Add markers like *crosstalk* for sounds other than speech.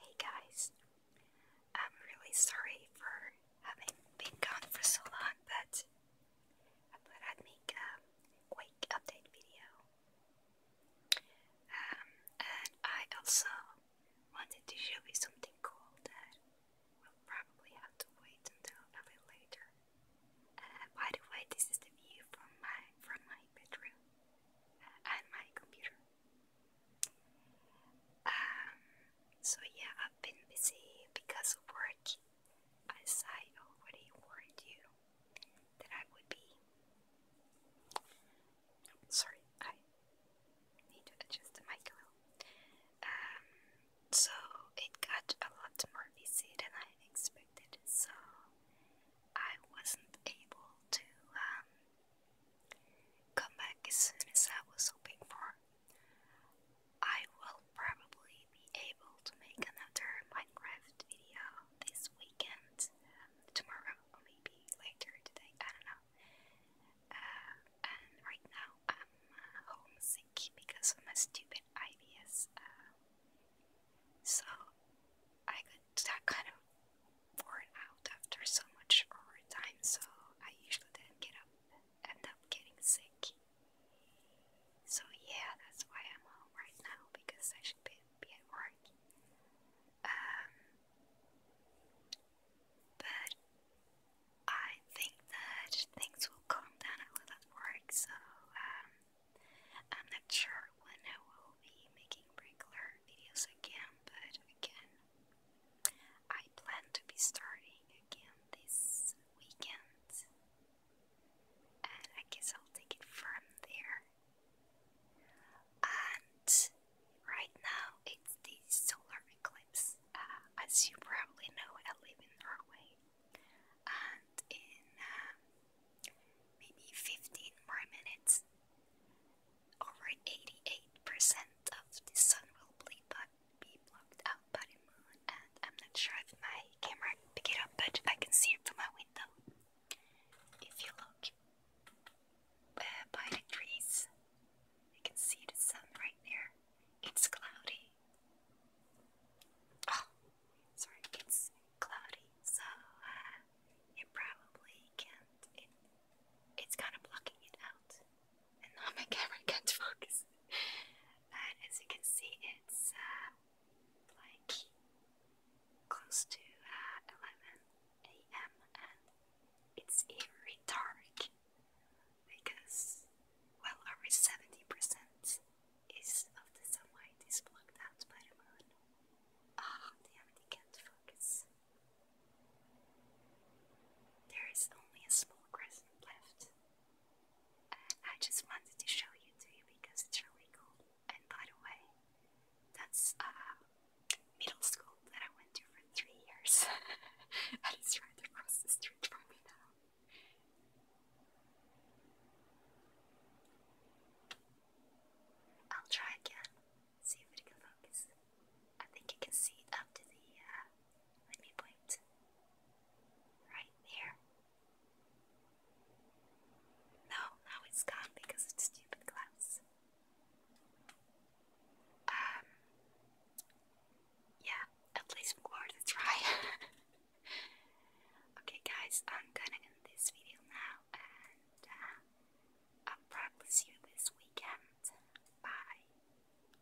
Hey guys, I'm really sorry for having been gone for so long, but I thought I'd make a quick update video. Um, and I also wanted to show you something cool that will probably have to wait until a little later. Uh, by the way, this is the view from my from my bedroom and my computer. Um, so yeah, I've been busy because of work. As I already warned you that I would be. sorry, I need to adjust the mic a little. Um, so it got a lot more busy than I expected so I wasn't able to um, come back as soon as I was hoping for. I will probably be able to make another Minecraft video this weekend, um, tomorrow, or maybe later today, I don't know. Uh, and right now, homesick because of my stupid ideas. Uh, so I got kind of worn out after so much overtime, so I usually didn't get up, end up getting sick. So yeah, that's why I'm home right now because I should be, be at work. Um, but I think that things will calm down a little at work, so um, I'm not sure when I will be making regular videos again, but again, I plan to be starting again this weekend, and I guess I'll take it from there. And right now it's the solar eclipse. Uh, as you probably know, I live in Norway, and in um, maybe 15 more minutes, over 88% of the sun will be, blocked out by the moon. And I'm not sure if my camera pick it up, but I can see it from my window. If you look uh, by the trees, you can see the sun right there. It's cloudy. Oh, sorry, it's cloudy, so uh, probably can't. it's kind of blocking it out, and now my *laughs* camera can't focus. But as you can see, it's uh, like close to uh, 11 a.m. and it's very dark because, well, over 70% is of the sunlight is blocked out by the moon. Ah, damn it, can't focus. There is only a small crescent left. Uh, I just wanted to show you to you because it's really cool. And by the way, that's uh, middle school that I went to for three years. that is right across the street from me now. I'll try again. See if it can focus. I think you can see up to the. Uh, let me point. Right there. No, now it's gone because of stupid glass. Um, yeah, at least we worth a try. okay, guys, I'm gonna end this video now, and uh, I'll you this weekend. Bye.